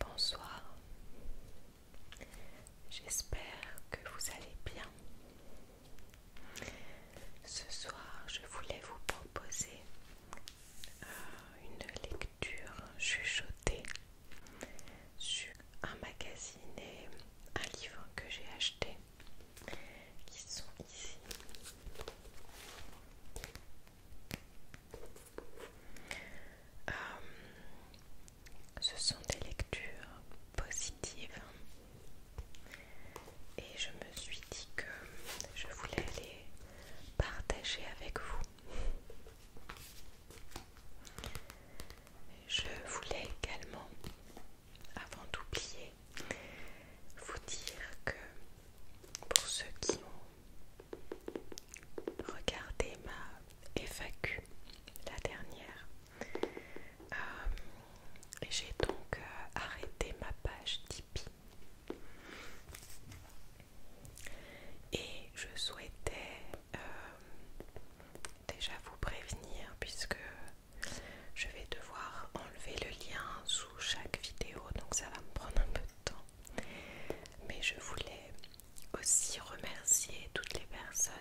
Bonsoir, j'espère que vous allez bien. Ce soir, je voulais vous proposer euh, une lecture chuchotée sur un magazine et un livre que j'ai acheté qui sont ici. Euh, ce sont des lectures positives et je me suis dit que je voulais les partager avec vous. Je voulais également, avant d'oublier, vous dire que pour ceux qui ont regardé ma FAQ la dernière, euh, j'ai donc euh, arrêté ma page Tipeee. Et je souhaitais euh, déjà vous prévenir puisque je vais devoir enlever le lien sous chaque vidéo, donc ça va me prendre un peu de temps. Mais je voulais aussi remercier toutes les personnes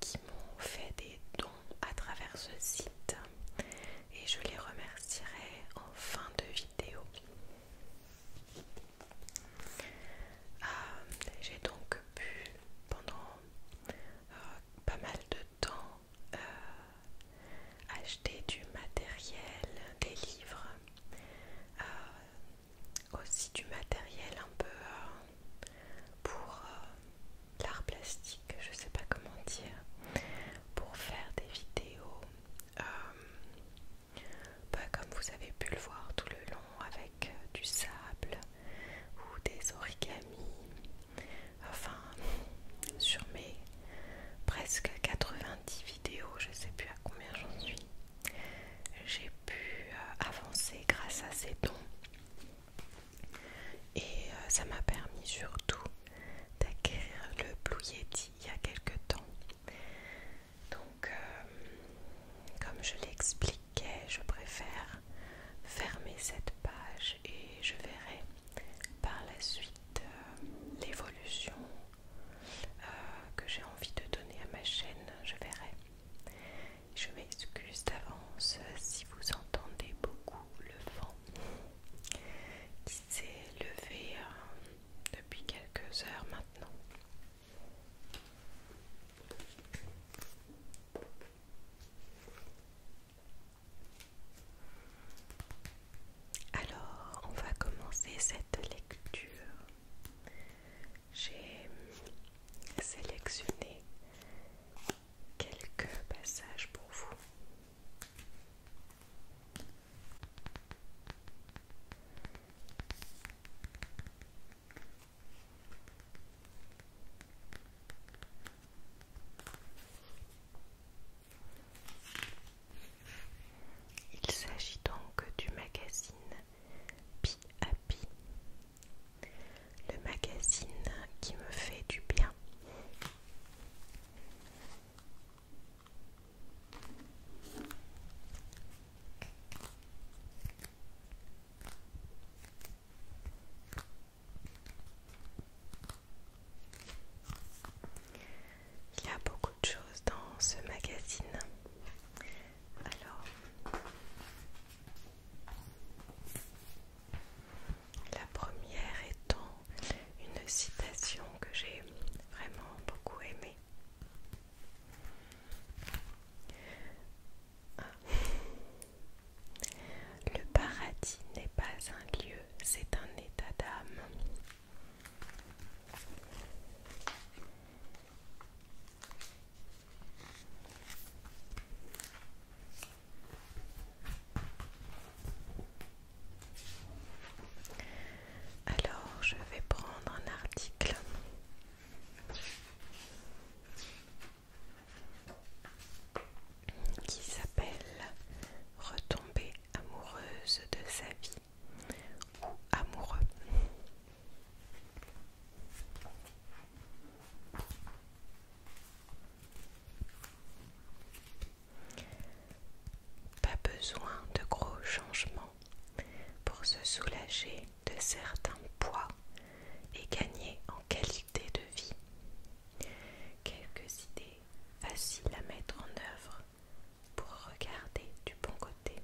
qui m'ont fait des dons à travers ce site et je les remercierai en fin de vidéo. Euh, j'ai donc pu pendant euh, pas mal de temps euh, acheter du matériel, des livres, aussi du matériel un peu pour l'art plastique, je sais pas comment dire, pour faire des vidéos comme vous avez pu le voir tout le long avec euh, du sable ou des origamis, enfin sur mes presque 90 vidéos, je sais plus à combien j'en suis, j'ai pu euh, avancer grâce à ces dons et euh, ça m'a permis surtout d'acquérir le Blue Yeti il y a quelque temps donc, euh, comme je l'expliquais, je préfère fermer cette page et je verrai par la suite euh, l'évolution euh, que j'ai envie de donner à ma chaîne. Je verrai. Je m'excuse d'avance si vous entendez beaucoup le vent qui s'est levé depuis quelques heures maintenant. Alors, on va commencer cette lecture. J'ai sélectionné quelques passages pour vous. Il s'agit donc du magazine Pi Pi, le magazine qui me fait du bien. Il y a beaucoup de choses dans ce magazine. Alors, la première étant une citation que j'ai vraiment beaucoup aimée. Le paradis n'est pas un lieu, c'est un état d'âme. Alors, je vais prendre un article qui s'appelle Retomber amoureuse de sa vie ou amoureux. Pas besoin de gros changements pour se soulager de certains poids et gagner en qualité de vie. Quelques idées faciles à mettre en œuvre pour regarder du bon côté.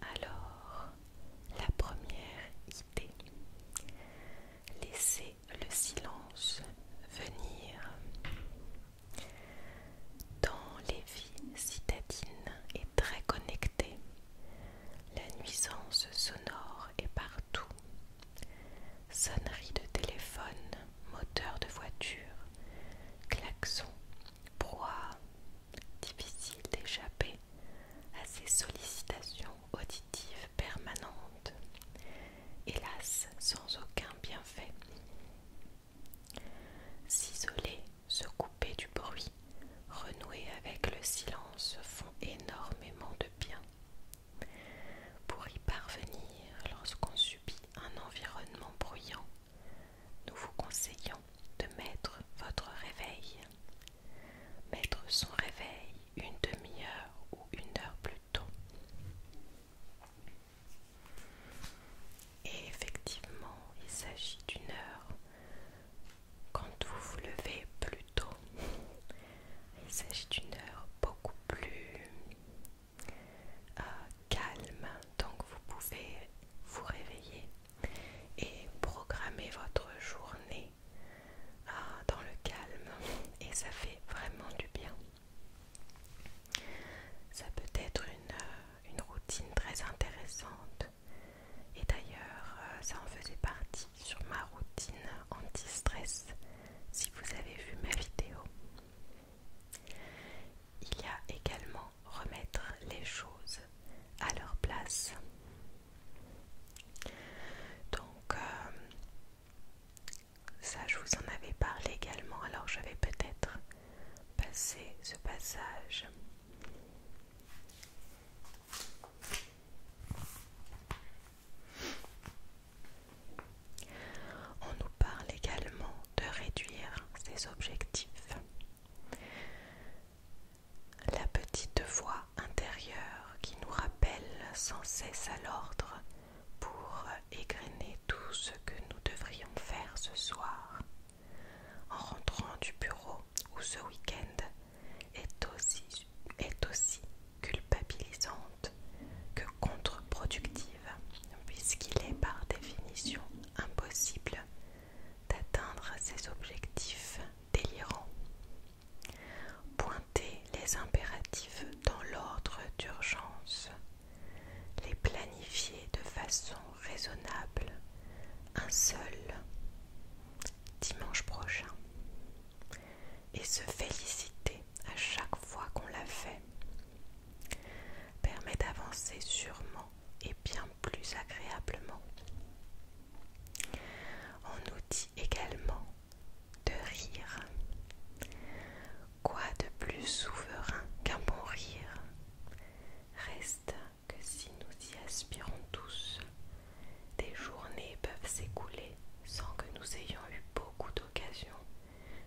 Alors, la première idée, laisser le silence venir. Dans les vies citadines et très connectées, la nuisance sonore est partout. Sonneries de téléphone, moteurs de voiture, klaxons, proie, difficile d'échapper à ces sollicitations auditives permanentes, hélas sans aucun bienfait. S'isoler, se couper du bruit, renouer avec le silence font énormément de bien. Pour y parvenir, lorsqu'on subit un environnement bruyant, nous vous conseillons de mettre votre réveil. Mettre son réveil une demi-heure ou une heure plus tôt. Et effectivement, il s'agit d'une heure quand vous vous levez plus tôt. Il s'agit d'une heure beaucoup plus euh, calme, donc vous pouvez vous réveiller et programmer votre journée euh, dans le calme et ça fait vraiment du bien. Ça peut être euh, une, routine très intéressante. Et d'ailleurs, euh, ça en faisait partie sur ma routine anti-stress, si vous avez vu ma vidéo. Il y a également remettre les choses à leur place. Donc, euh, ça, je vous en avais parlé également, alors je vais peut-être passer ce passage. On nous parle également de réduire ses objectifs. La petite voix intérieure qui nous rappelle sans cesse à l'ordre pour égrener tout ce que nous devrions faire ce soir en rentrant du bureau où ce week-end est aussi, est aussi culpabilisante que contre-productive puisqu'il est par définition impossible d'atteindre ses objectifs délirants. Pointer les impératifs dans l'ordre d'urgence les planifier de façon raisonnable un seul dimanche prochain et se féliciter à chaque fois qu'on l'a fait permet d'avancer sûrement et bien plus agréablement. On nous dit également de rire. Quoi de plus souverain qu'un bon rire Reste que si nous y aspirons tous, des journées peuvent s'écouler sans que nous ayons eu beaucoup d'occasion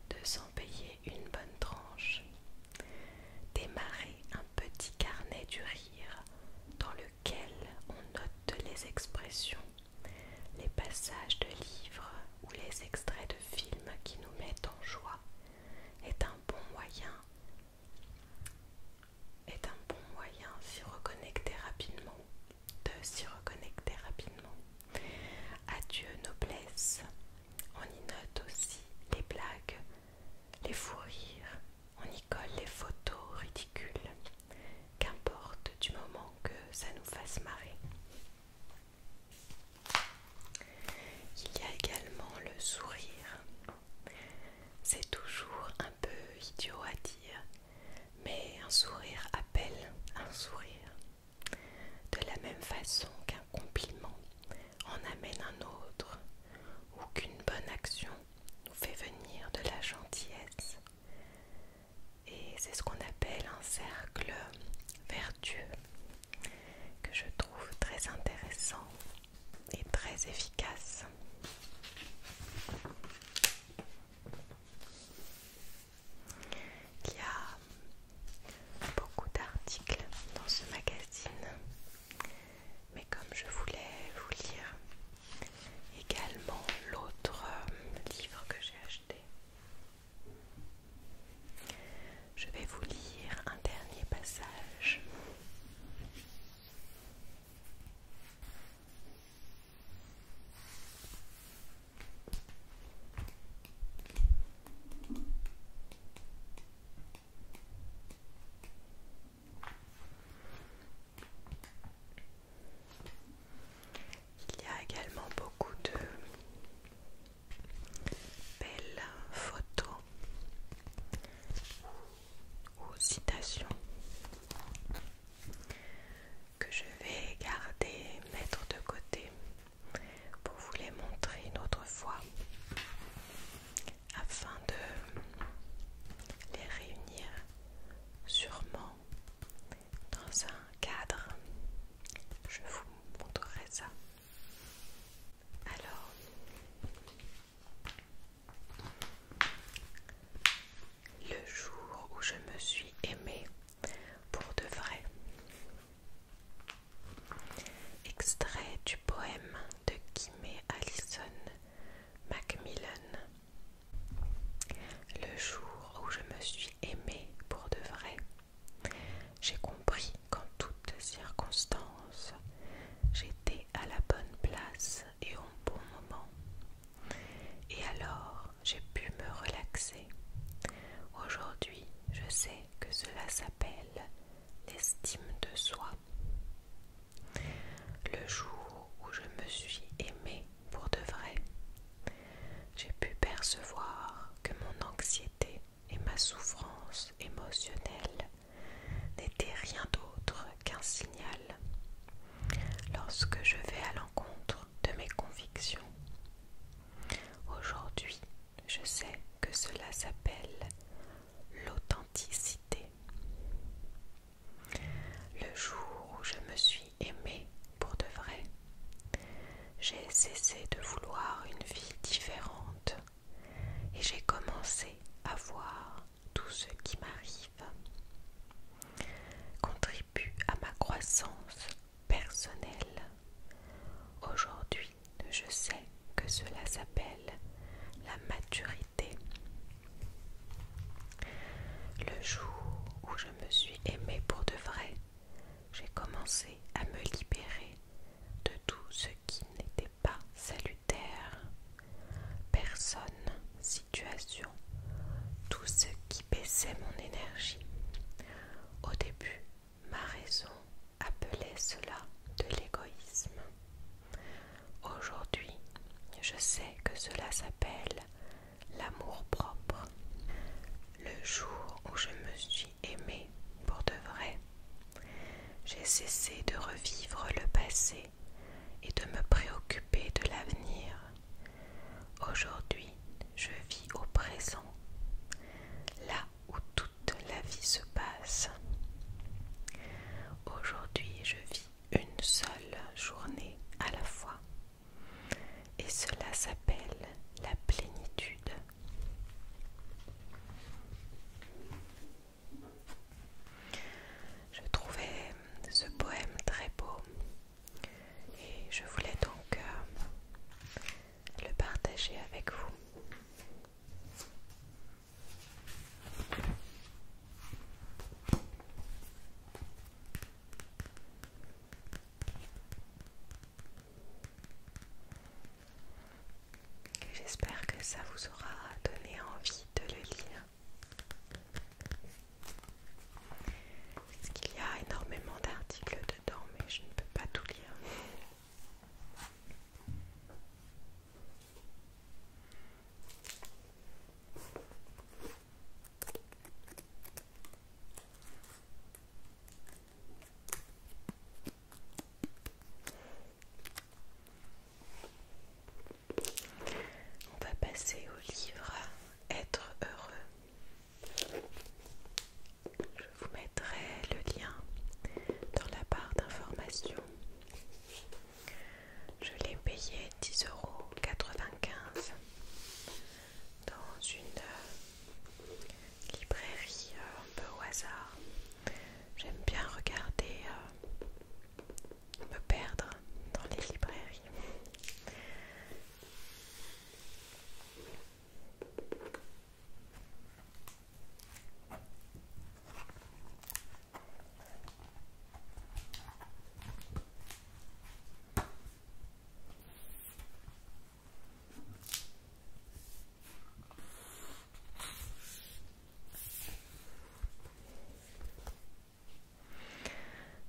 de s'en payer une bonne tranche. Démarrer un petit carnet du rire dans lequel on note les expressions, les passages de livres ou les extraits de films qui nous mettent en joie est un bon moyen est un bon moyen reconnecter rapidement de s'y reconnecter rapidement adieu noblesse on y note aussi les blagues les fous rires on y colle les photos ridicules qu'importe du moment que ça nous fasse marrer il y a également le sourire. C'est toujours un peu idiot à dire, mais un sourire appelle un sourire. De la même façon qu'un compliment en amène un autre, ou qu'une bonne action nous fait venir de la gentillesse. Et c'est ce qu'on appelle un cercle vertueux que je trouve très intéressant et très efficace. Il y a beaucoup d'articles dans ce magazine, mais comme je voulais vous lire également l'autre euh, livre que j'ai acheté, je vais vous lire un dernier passage. Il y a également beaucoup de belles photo ou citations que je vais garder, mettre de côté pour vous les montrer une autre fois afin de les réunir sûrement dans un cadre. Je vous montrerai ça alors, le jour où je me suis aimée pour de vrai. Extrait du poème de Kimé Allison Macmillan. Le jour où je me suis aimée pour de vrai. J'ai compris qu'en toutes circonstances, j'étais à la bonne place et au bon moment. Et alors, j'ai pu me relaxer. Aujourd'hui, je sais que cela s'appelle l'estime de soi. Le jour où je me suis aimée pour de vrai, j'ai pu percevoir que mon anxiété et ma souffrance émotionnelle n'était rien d'autre qu'un signal lorsque je vais à l'encontre de mes convictions. Aujourd'hui, je sais que cela s'appelle l'authenticité. Le jour où je me suis aimée pour de vrai, j'ai cessé de vouloir une vie différente et j'ai commencé à voir tout ce qui m'arrive contribue à ma croissance personnelle. Aujourd'hui, je sais que cela s'appelle la maturité. Le jour où je me suis aimée pour de vrai, j'ai commencé à me libérer de tout ce qui n'était pas salutaire, personne, situation, tout ce qui baissait mon énergie. Au début, ma raison appelait cela de l'égoïsme. Aujourd'hui, je sais que cela s'appelle l'amour propre. Le jour où je me suis aimé pour de vrai. J'ai cessé de revivre le passé et de me préoccuper de l'avenir. Aujourd'hui, je vis au présent, là où toute la vie se passe. Aujourd'hui, je vis une seule journée à la fois. Et cela s'appelle la plénitude. Je trouvais ce poème très beau et je voulais donc euh, le partager avec vous j'espère que ça vous aura donné envie de le lire. Parce qu'il y a énormément d'articles dedans, mais je ne peux pas tout lire. On va passer au livre Être heureux. Je vous mettrai le lien dans la barre d'information. Je l'ai payé euros dans une librairie euh, un peu au hasard. J'aime bien regarder, euh, me perdre dans les librairies.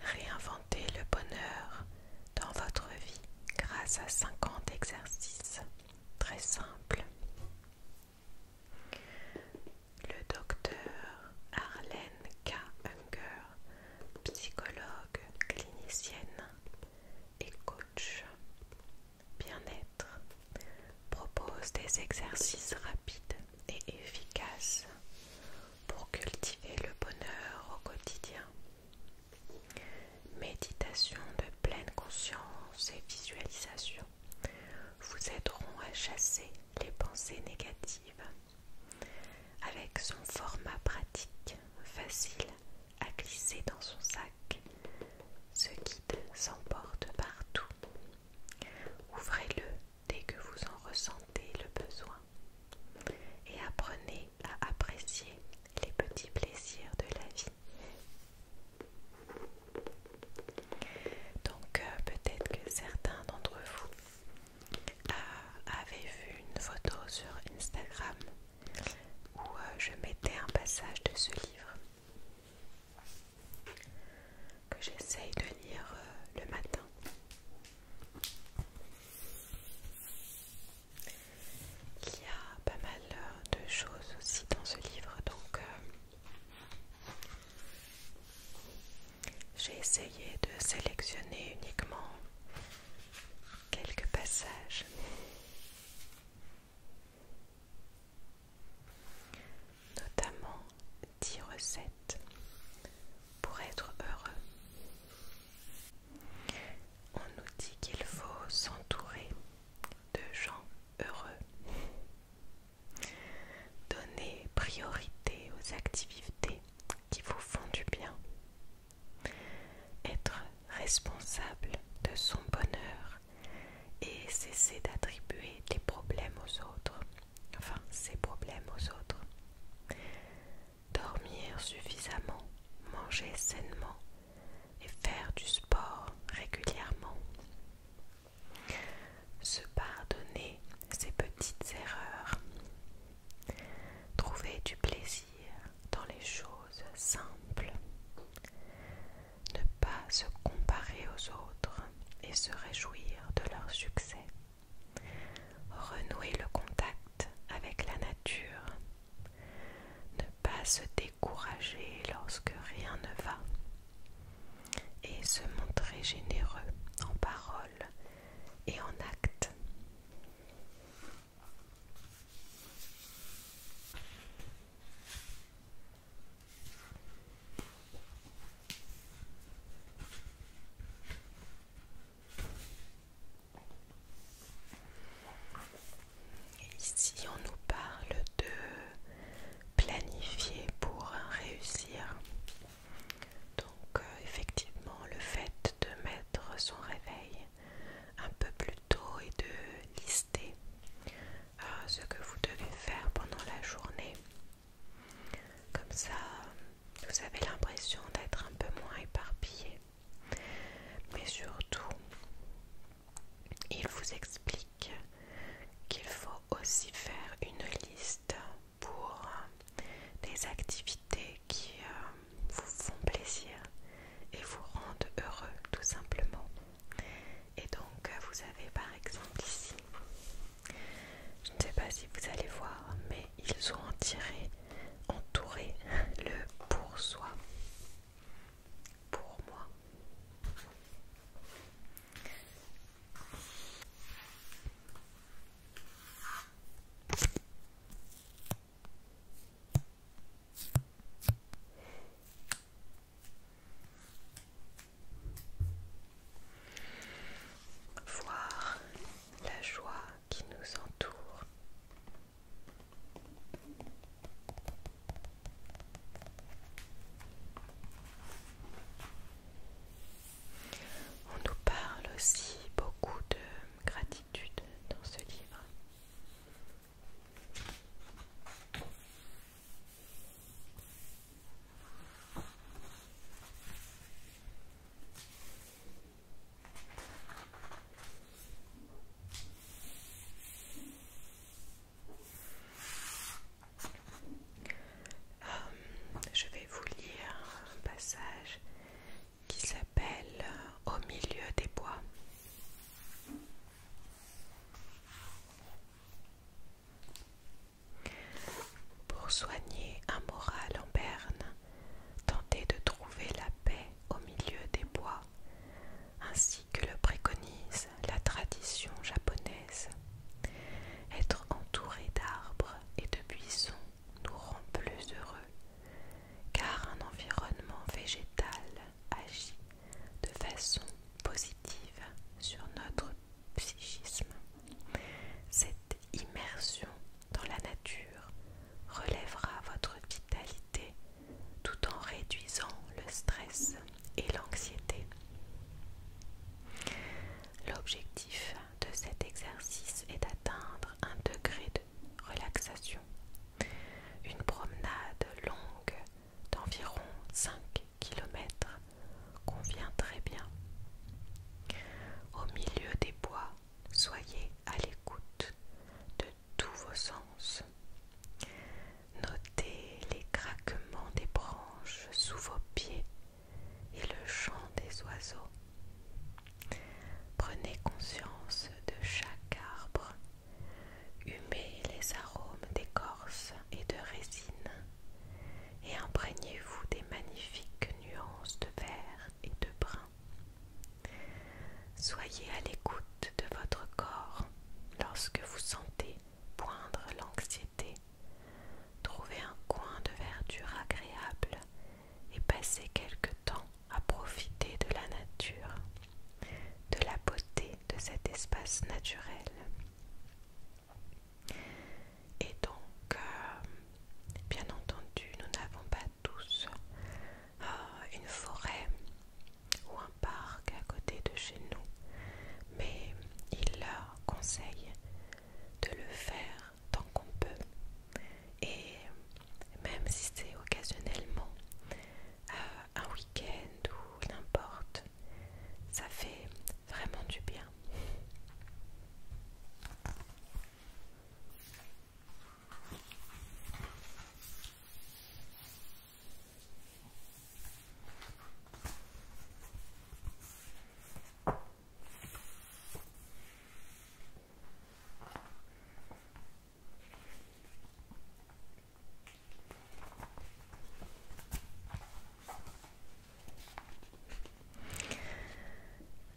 Réinventez le bonheur dans votre vie grâce à 50 exercices très simples. Le docteur Arlene K. Unger, psychologue clinicienne et coach, bien-être propose des exercices rapides et efficaces pour cultiver le bonheur au quotidien. Méditation de pleine conscience et visualisation vous aideront à chasser les pensées négatives. Avec son format pratique, facile à glisser dans son sac. Ce guide s'emporte partout. Ouvrez-le dès que vous en ressentez le besoin et apprenez à apprécier les petits plaisirs de la vie. Donc euh, peut-être que certains d'entre vous euh, avaient vu une photo sur Instagram où euh, je mettais un passage de ce livre que j'essaye de lire euh, le matin. Il y a pas mal euh, de choses aussi dans ce livre, donc euh, j'ai essayé de sélectionner uniquement quelques passages notamment 10 recettes pour être heureux. On nous dit qu'il faut s'entourer de gens heureux. Donner priorité aux activités qui vous font du bien. Être responsable de son bonheur et cesser d'attribuer des problèmes aux autres, enfin ses problèmes aux autres. Dormir suffisamment, manger sainement et faire du sport régulièrement. Se pardonner ses petites erreurs. Trouver du plaisir dans les choses simples ne pas se comparer aux autres et se réjouir de leur succès. Renouer le contact avec la nature. Ne pas se décourager lorsque rien ne va. Et se montrer généreux en paroles et en acte ici, on nous parle de planifier pour réussir. Donc, euh, effectivement, le fait de mettre son réveil un peu plus et de lister euh, ce que vous devez faire pendant la journée. Comme ça, vous avez l'impression d'être un peu moins éparpillé. Mais surtout, il vous explique qu'il faut aussi faire une liste pour euh, des activités qui euh, vous font plaisir et vous rendent heureux tout simplement. Et donc euh, vous avez par exemple ici, je ne sais pas si vous allez voir, mais ils ont tiré, entouré le pour soi, pour moi. Voir la joie qui nous entoure. On nous parle aussi beaucoup de gratitude dans ce livre. Euh, je vais vous lire un passage qui s'appelle Au milieu des bois. Pour soigner un moral en berne, tenter de trouver la paix au milieu des bois, ainsi que le préconise la tradition japonaise. Être entouré d'arbres et de buissons nous rend plus heureux, car un environnement végétal agit de façon positive sur notre psychisme. Cette immersion dans la nature relèvera votre vitalité tout en réduisant le stress et l'anxiété. L'objectif de cet exercice est d'atteindre un degré de relaxation. Une promenade longue d'environ 5 km convient très bien. Au milieu des bois, soyez à l'écoute de tous vos sens. Notez les craquements des branches sous vos pieds et le chant des oiseaux. Prenez conscience de chaque arbre Humez les arômes d'écorce et de résine et imprégnez-vous des magnifiques nuances de vert et de brun. Soyez à l'écoute de votre corps lorsque vous sentez poindre l'anxiété. Trouvez un coin de verdure agréable et passez quelque temps à profiter de la nature de la beauté de cet espace naturel. Et donc, euh, bien entendu, nous n'avons pas tous euh, une forêt ou un parc à côté de chez nous, mais il leur conseille de le faire tant qu'on peut. Et même si c'est occasionnellement euh, un week-end ou n'importe, ça fait vraiment du bien.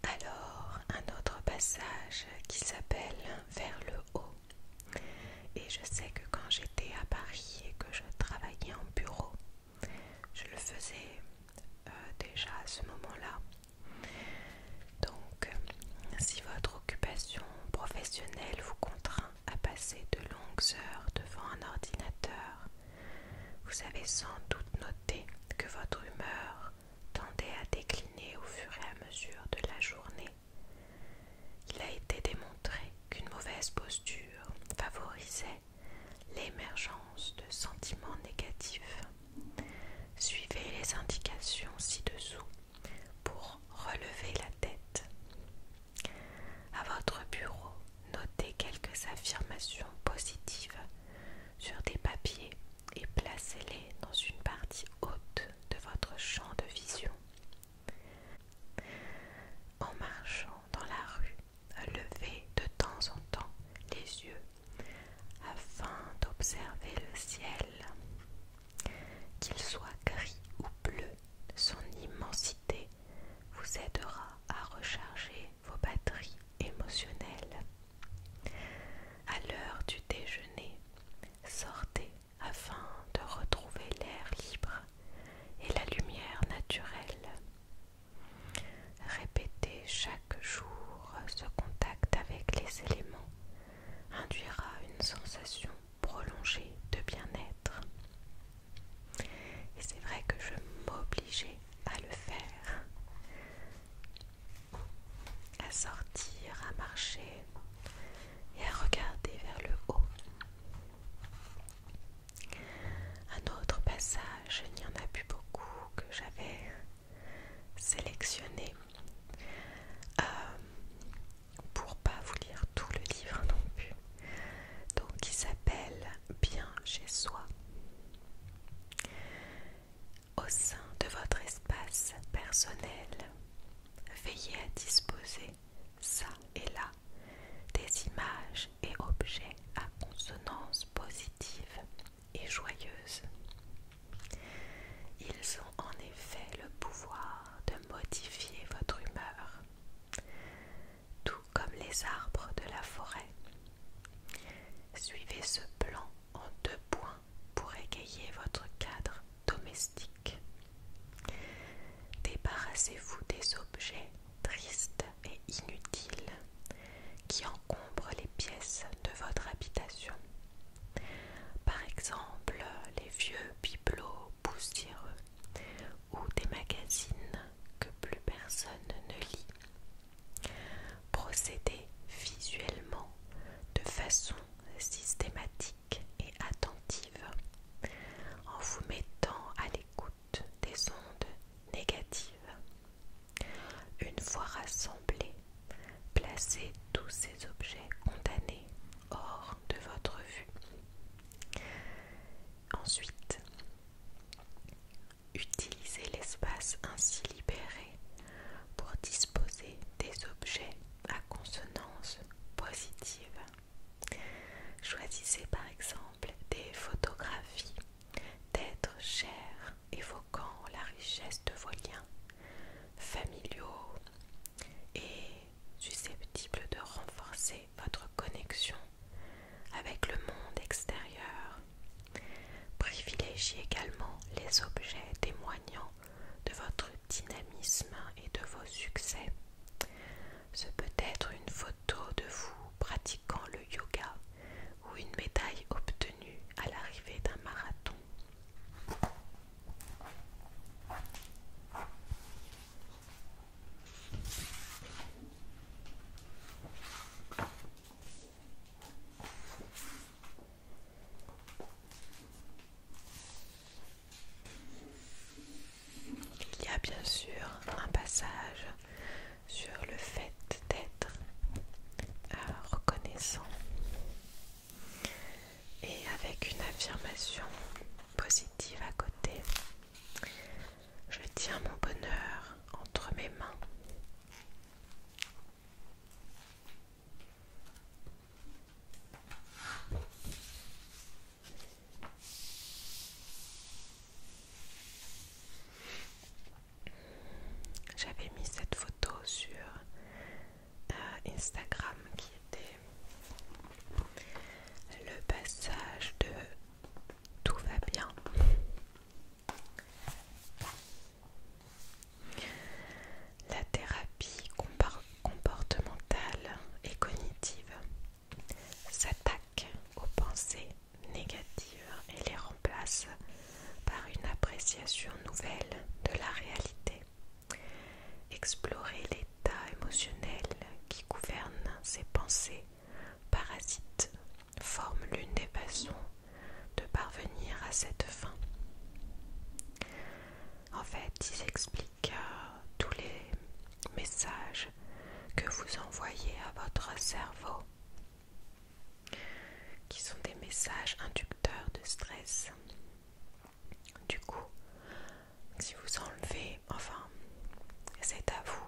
Alors, un autre passage qui s'appelle Vers le haut. Et je sais que quand j'étais à Paris et que je travaillais en bureau, je le faisais euh, déjà à ce moment-là. Donc, si votre occupation professionnelle vous contraint à passer de longues heures devant un ordinateur, vous avez sans doute noté que votre humeur tendait à décliner au fur et à mesure de la journée. Il a été démontré qu'une mauvaise posture favorisait l'émergence de sentiments négatifs. Suivez les indications ci-dessous pour relever la tête. À votre bureau, notez quelques affirmations positives sur des papiers et placez-les dans une partie haute de votre champ de vision. En marchant dans la rue, levez de temps en temps les yeux afin d'observer le ciel. Qu'il soit gris ou bleu, son immensité vous aidera à recharger vos batteries émotionnelles. À l'heure du déjeuner, sortez afin de retrouver l'air libre et la lumière naturelle. Répéter chaque jour ce contact avec les éléments induira une sensation prolongé de bien-être. Et c'est vrai que je m'obligeais à le faire, à sortir, à marcher et à regarder vers le haut. Un autre passage, il n'y en a plus beaucoup que j'avais sélectionné. Euh, pour pas vous lire tout le livre non plus. Donc il s'appelle Bien chez soi. Au sein de votre espace personnel, veillez à disposer ça et là des images et objets à consonance positive et joyeuse. Ils ont en effet le pouvoir de modifier votre humeur tout comme les arbres de la forêt. Suivez ce plan en deux points pour égayer votre cadre domestique. Débarrassez-vous des objets tristes et inutiles qui encombrent les pièces de votre habitation. Par exemple, les vieux bibelots poussiéreux ou des magazines que plus personne ne lit. Procédez visuellement de façon systématique et attentive en vous mettant à l'écoute des ondes négatives. Une fois rassemblés, placez tous ces objets condamnés hors de votre vue. Ensuite, utilisez l'espace ainsi libéré pour disposer des objets à consonance positive. Choisissez par exemple des photographies d'êtres chers évoquant la richesse de vos liens familiaux et susceptibles de renforcer votre connexion avec le monde extérieur. Privilégiez également les objets témoignant de votre dynamisme et de vos succès. Ce peut être une photo de vous pratiquant le yoga ou une médaille obtenue à l'arrivée d'un marathon. Il y a bien sûr un passage sur le fait d'être euh, reconnaissant et avec une affirmation positive à côté je tiens mon bonheur entre mes mains. J'avais mis cette photo sur euh, Instagram qui était le passage de tout va bien. La thérapie comportementale et cognitive s'attaque aux pensées négatives et les remplace par une appréciation nouvelle de la réalité. Explorer les l'état émotionnel qui gouverne ces pensées parasites forme l'une des façons de parvenir à cette fin. En fait, il explique euh, tous les messages que vous envoyez à votre cerveau, qui sont des messages inducteurs de stress. Du coup, si vous enlevez, enfin, c'est à vous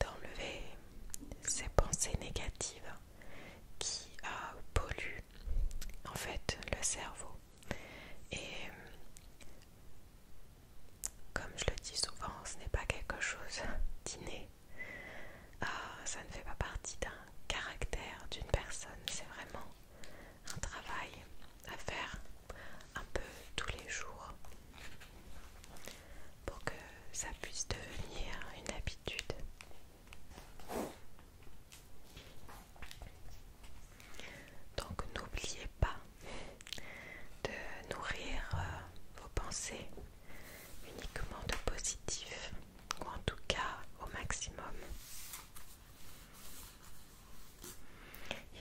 d'enlever ces pensées négatives qui euh, polluent en fait le cerveau. Et comme je le dis souvent, ce n'est pas quelque chose d'inné. Euh, ça ne fait pas partie d'un caractère d'une personne, c'est vraiment un travail à faire un peu tous les jours pour que ça puisse devenir une habitude. Donc n'oubliez pas de nourrir euh, vos pensées uniquement de positif ou en tout cas au maximum.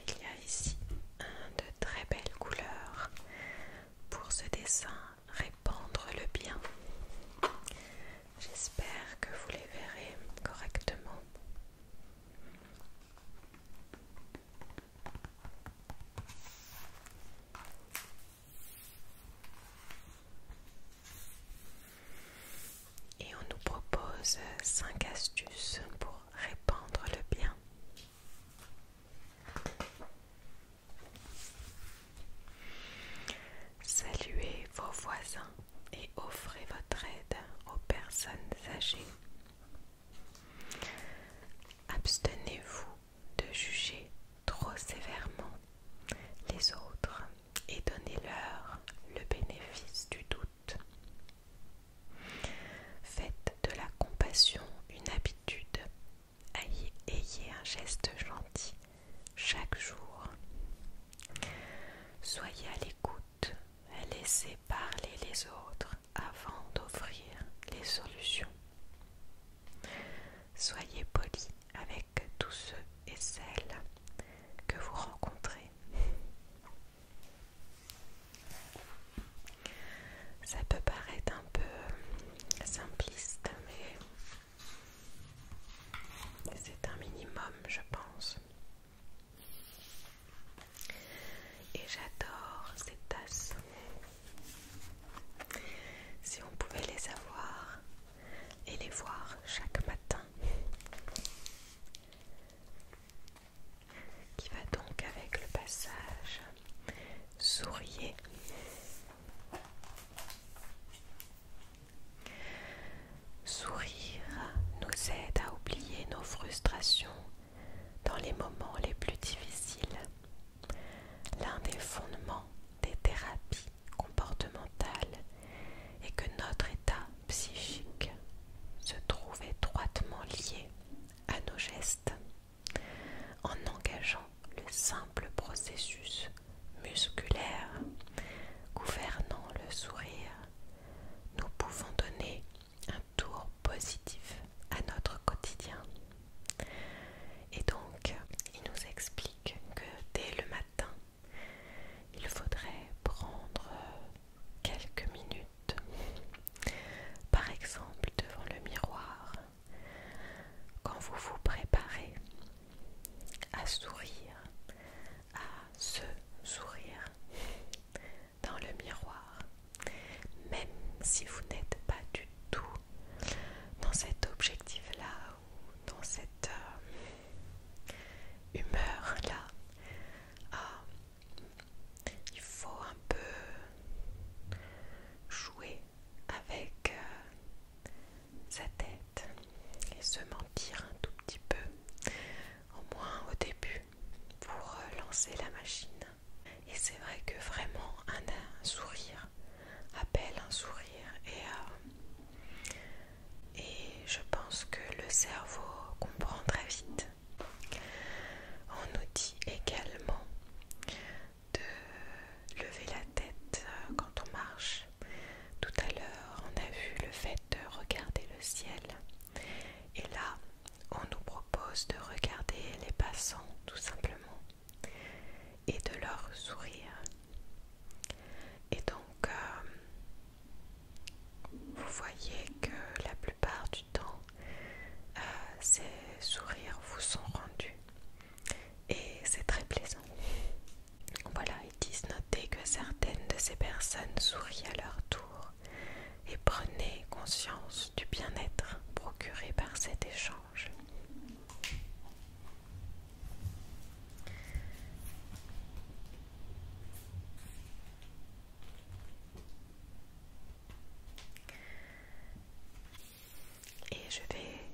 Il y a ici de très belles couleurs pour ce dessin répandre le bien. J'espère que vous les verrez correctement. Et on nous propose 5 astuces pour répandre le bien. Saluez vos voisins et offrez votre aide aux personnes âgées. Abstenez-vous de juger trop sévèrement les autres et donnez-leur le bénéfice du doute. Faites de la compassion une habitude. Ayez un geste gentil chaque jour. Soyez à l'écoute. Laissez parler les autres avant d'offrir les solutions. Soyez poli avec tous ceux et celles que vous rencontrez. Ça peut paraître un peu simpliste, mais c'est un minimum, je pense. Et j'adore ces tasses. Si on pouvait les avoir et les voir chaque matin qui va donc avec le passage sourire. Sourire nous aide à oublier nos frustrations dans les moments les plus difficiles. L'un des fondements des thérapies comportementales est que notre état psychique se trouve étroitement lié à nos gestes en engageant le simple processus musculaire gouvernant le sourire, nous pouvons donner un tour positif à notre quotidien. Et donc, il nous explique que dès le matin, il faudrait prendre quelques minutes, par exemple devant le miroir, quand vous vous préparez à sourire, à se sourire dans le miroir, même si vous n'êtes pas du tout dans cet objectif-là ou dans cette euh, humeur-là, ah, il faut un peu jouer avec euh, sa tête et se mentir un tout petit peu, au moins au début, pour relancer euh, lancer la machine. Et c'est vrai que vraiment un, sourire appelle un sourire euh, et je pense que le cerveau comprend très vite on nous dit également de lever la tête euh, quand on marche. Tout à l'heure, on a vu le fait de regarder le ciel. Et là, on nous propose de regarder les passants tout simplement et de leur sourire. Et donc, euh, vous voyez que la plupart du temps, euh, ces sourires vous sont rendus et c'est très plaisant. Voilà, ils disent noter que certaines de ces personnes sourient à leur tour et prenez conscience du bien-être procuré par cet échange. Et je vais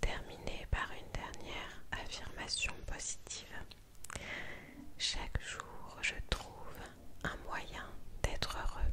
terminer par une dernière affirmation positive. Chaque jour, je trouve un moyen d'être heureux.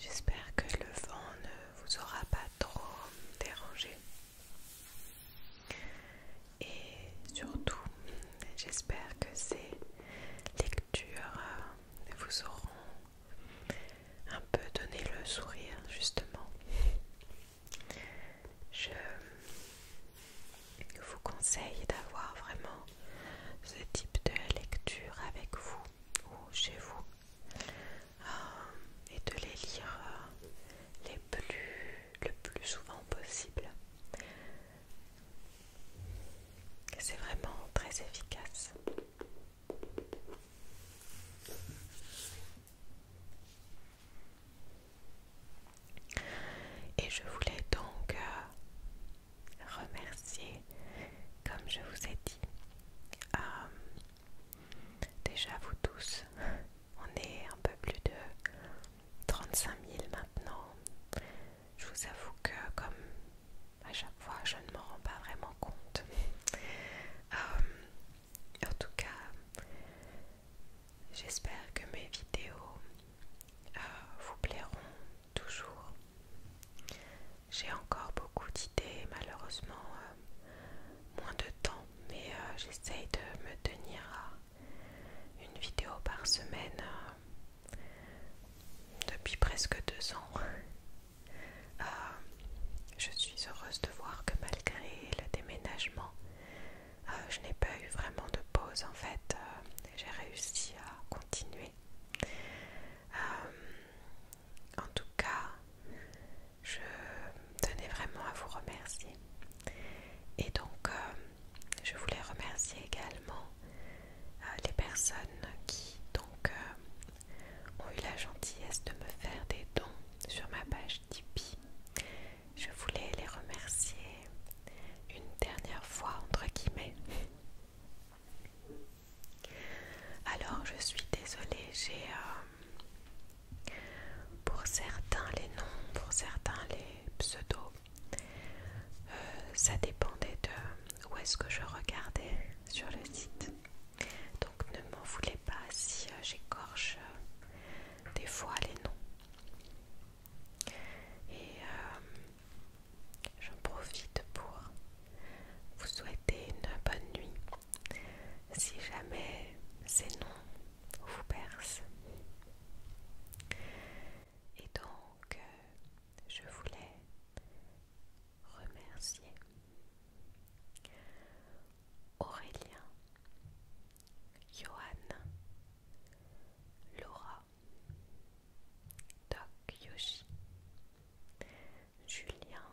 J'espère que le vent ne vous aura pas trop dérangé. Et surtout, j'espère que ces lectures vous auront un peu donné le sourire justement. Je vous conseille d'avoir vraiment ce type de lecture avec vous ou chez vous euh, et de les lire euh, les plus, le plus souvent possible. C'est vraiment très efficace. Et je voulais donc euh, remercier, comme je vous ai dit, euh, déjà vous tous. On est un peu plus de 35 000 maintenant. Je vous avoue que comme à chaque fois je ne m'en rends pas vraiment compte euh, en tout cas j'espère que mes vidéos euh, vous plairont toujours j'ai encore beaucoup d'idées malheureusement euh, moins de temps mais j'essaye de me tenir à une vidéo par semaine depuis presque deux ans. Euh, je suis heureuse de voir que malgré le déménagement, euh, je n'ai pas eu vraiment de pause en fait. Euh, j'ai réussi à continuer. en tout cas, je tenais vraiment à vous remercier. Et donc, je voulais remercier également euh, les personnes qui donc euh, ont eu la gentillesse de me faire des dons sur ma page Tipeee. Je voulais les remercier une dernière fois entre guillemets. Alors je suis désolée, j'ai euh, pour certains les noms, pour certains les pseudos. ça dépendait de où est-ce que je regardais sur le site. Donc ne m'en voulez pas si euh, j'écorche euh, des fois les noms. Et euh, j'en profite pour vous souhaiter une bonne nuit si jamais ces noms vous percent. Et donc, je voulais remercier Aurélien, Johan, Laura, Doc Yoshi, Julien,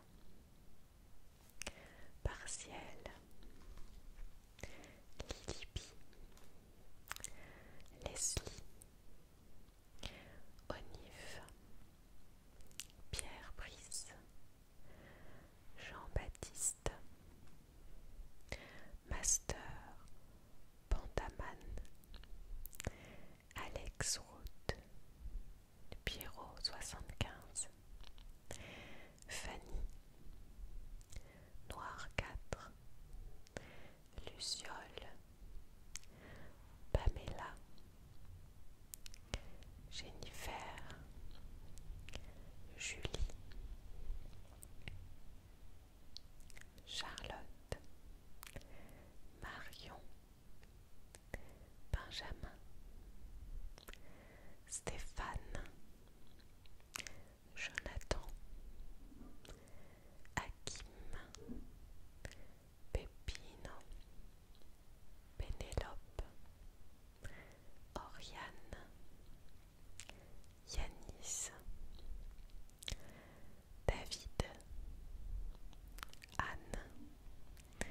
Partiel, Lilipi, Leslie, Onif, Pierre Brice, Jean-Baptiste, Master, Pantamane, Alex Route, Pierrot 75, Fanny, Noir 4, Luciole, Pamela, Jennifer, Julie, Charlotte, Marion, Benjamin, Stéphane, Jonathan, Akim, Pépino, Pénélope, Oriane, Yanis, David, Anne,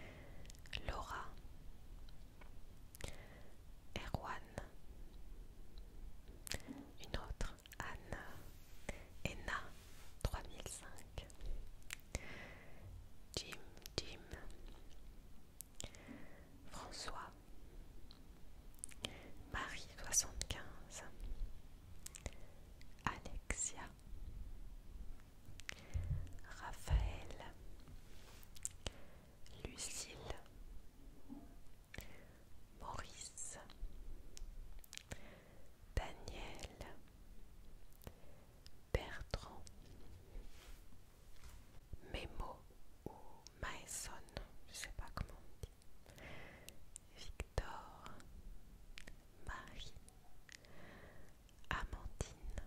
Laura, Erwan, une autre, Anne Enna cinq. Jim Jim François Marie quinze. Alexia Raphaël Lucille Maurice Daniel Bertrand Memo ou Maison, je sais pas comment on dit Victor Marie Amandine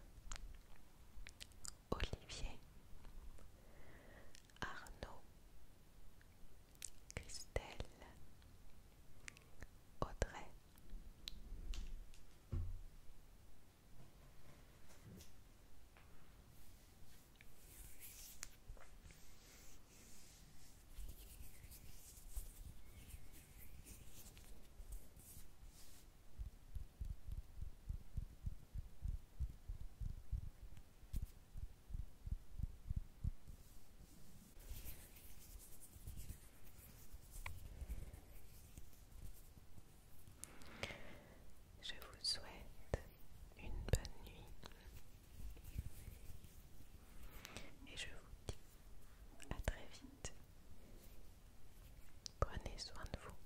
Olivier Arnaud Christelle, Audrey. Je vous souhaite une bonne nuit et je vous dis à très vite. Prenez soin de vous.